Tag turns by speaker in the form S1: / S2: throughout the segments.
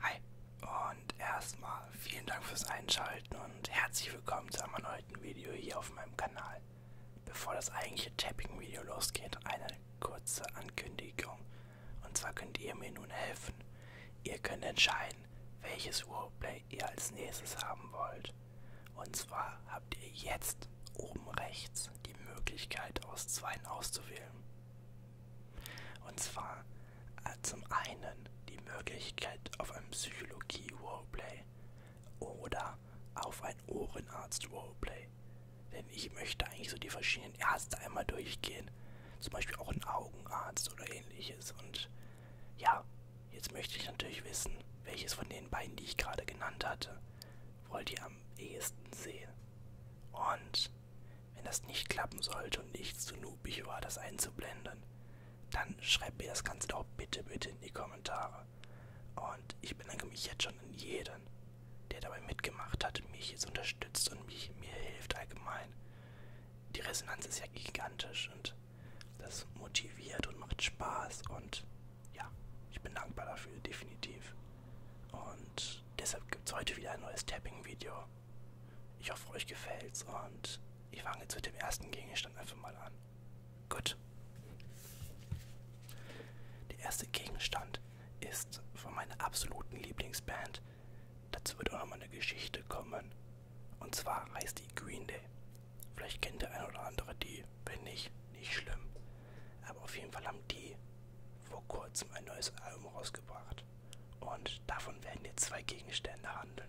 S1: Hi und erstmal vielen Dank fürs Einschalten und herzlich willkommen zu einem erneuten Video hier auf meinem Kanal. Bevor das eigentliche Tapping-Video losgeht, eine kurze Ankündigung. Und zwar könnt ihr mir nun helfen. Ihr könnt entscheiden, welches Roleplay ihr als nächstes haben wollt. Und zwar habt ihr jetzt oben rechts die Möglichkeit aus zwei auszuwählen. Und zwar äh, zum einen die Möglichkeit auf ein Psychologie-Roleplay oder auf ein Ohrenarzt-Roleplay. Denn ich möchte eigentlich so die verschiedenen Ärzte einmal durchgehen. Zum Beispiel auch ein Augenarzt oder ähnliches. Und ja, jetzt möchte ich natürlich wissen, welches von den beiden, die ich gerade genannt hatte, wollt ihr am ehesten sehen. Und wenn das nicht klappen sollte und ich zu noobig war, das einzublenden, dann schreibt mir das Ganze doch bitte, bitte in die Kommentare. Und ich bedanke mich jetzt schon an jeden, der dabei mitgemacht hat, mich jetzt unterstützt und mich, mir hilft allgemein. Die Resonanz ist ja gigantisch und das motiviert und macht Spaß und ja, ich bin dankbar dafür, definitiv. Und deshalb gibt es heute wieder ein neues Tapping-Video. Ich hoffe, euch gefällt's und ich fange jetzt mit dem ersten Gegenstand einfach mal an. Gut. Der erste Gegenstand ist von meiner absoluten Lieblingsband. Dazu wird auch nochmal eine Geschichte kommen. Und zwar heißt die Green Day. Vielleicht kennt der eine oder andere die, wenn nicht, nicht schlimm. Aber auf jeden Fall haben die vor kurzem ein neues Album rausgebracht. Und davon werden jetzt zwei Gegenstände handeln.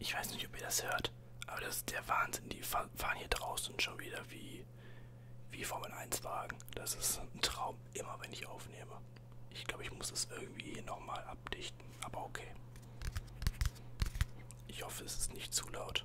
S1: Ich weiß nicht, ob ihr das hört, aber das ist der Wahnsinn. Die fahren hier draußen schon wieder wie, wie Formel 1 Wagen. Das ist ein Traum, immer wenn ich aufnehme. Ich glaube, ich muss es irgendwie nochmal abdichten, aber okay. Ich hoffe, es ist nicht zu laut.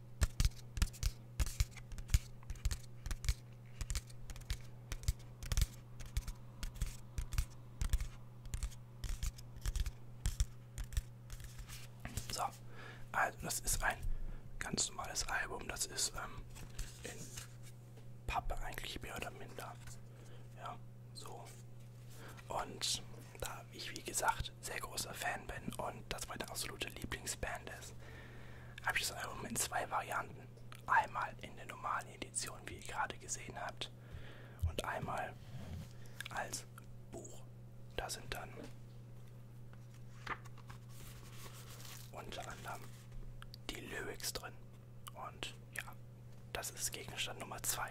S1: So, also das ist ein ganz normales Album, das ist ähm, in Pappe eigentlich mehr oder minder. Ja, so. Und da ich wie gesagt sehr großer Fan bin und das meine absolute Lieblingsband ist, habe ich das Album in zwei Varianten. Einmal in der normalen Edition, wie ihr gerade gesehen habt, und einmal als Buch. Da sind dann unter anderem die Lyrics drin. Und ja, das ist Gegenstand Nummer 2.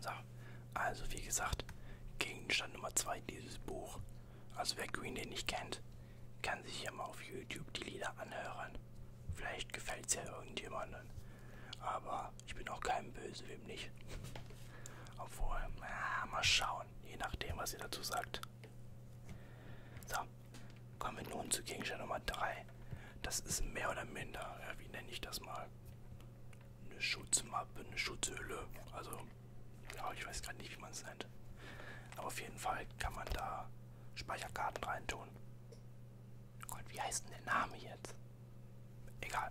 S1: So, also wie gesagt, Gegenstand Nummer 2 dieses Buch also wer Green Day nicht kennt, kann sich ja mal auf YouTube die Lieder anhören. Vielleicht gefällt es ja irgendjemandem. Aber ich bin auch kein Böse, wem nicht. Obwohl, na, mal schauen, je nachdem, was ihr dazu sagt. So, kommen wir nun zu Gegenstand Nummer 3. Das ist mehr oder minder, ja, wie nenne ich das mal? Eine Schutzmappe, eine Schutzhülle. Also ja, ich weiß gerade nicht, wie man es nennt. Aber auf jeden Fall kann man da Speicherkarten reintun. Gott, wie heißt denn der Name jetzt? Egal.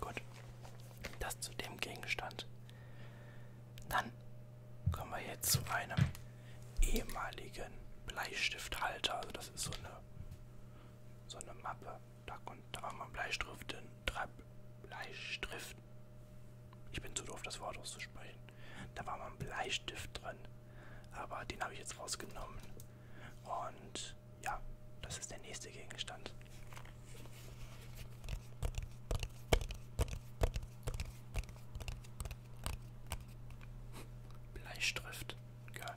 S1: Gut, das zu dem Gegenstand. Dann kommen wir jetzt zu einem ehemaligen Bleistifthalter. Also das ist so eine, so eine Mappe. Da, konnte, da war mal Bleistift drin. Bleistift. Ich bin zu doof, das Wort auszusprechen. Da war mal ein Bleistift drin. Aber den habe ich jetzt rausgenommen. Und ja, das ist der nächste Gegenstand. Bleistift. Geil.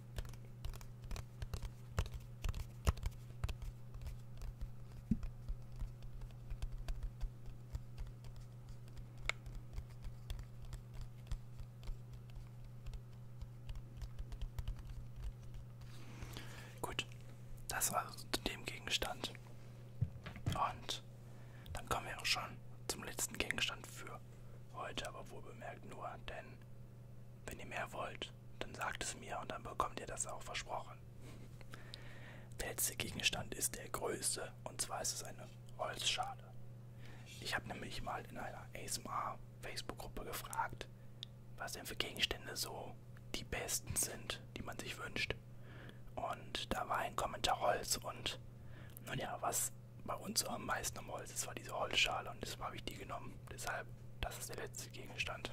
S1: Gut, das also zu dem Gegenstand. Und dann kommen wir auch schon zum letzten Gegenstand für heute, aber wohl bemerkt nur, denn wenn ihr mehr wollt, dann sagt es mir und dann bekommt ihr das auch versprochen. Der letzte Gegenstand ist der größte und zwar ist es eine Holzschale. Ich habe nämlich mal in einer ASMR Facebook-Gruppe gefragt, was denn für Gegenstände so die besten sind, die man sich wünscht. Und da war ein Kommentar Holz und nun ja, was bei uns so am meisten am Holz ist, war diese Holzschale und deshalb habe ich die genommen. Deshalb, das ist der letzte Gegenstand.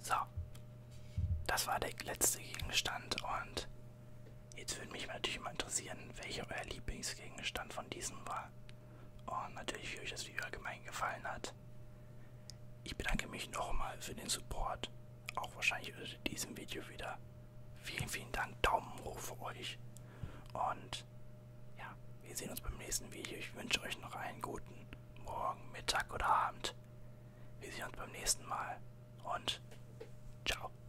S1: So, das war der letzte Gegenstand und Jetzt würde mich natürlich mal interessieren, welcher euer Lieblingsgegenstand von diesem war. Und natürlich, wie euch das Video allgemein gefallen hat. Ich bedanke mich nochmal für den Support. Auch wahrscheinlich unter diesem Video wieder. Vielen, vielen Dank. Daumen hoch für euch. Und ja, wir sehen uns beim nächsten Video. Ich wünsche euch noch einen guten Morgen, Mittag oder Abend. Wir sehen uns beim nächsten Mal. Und ciao.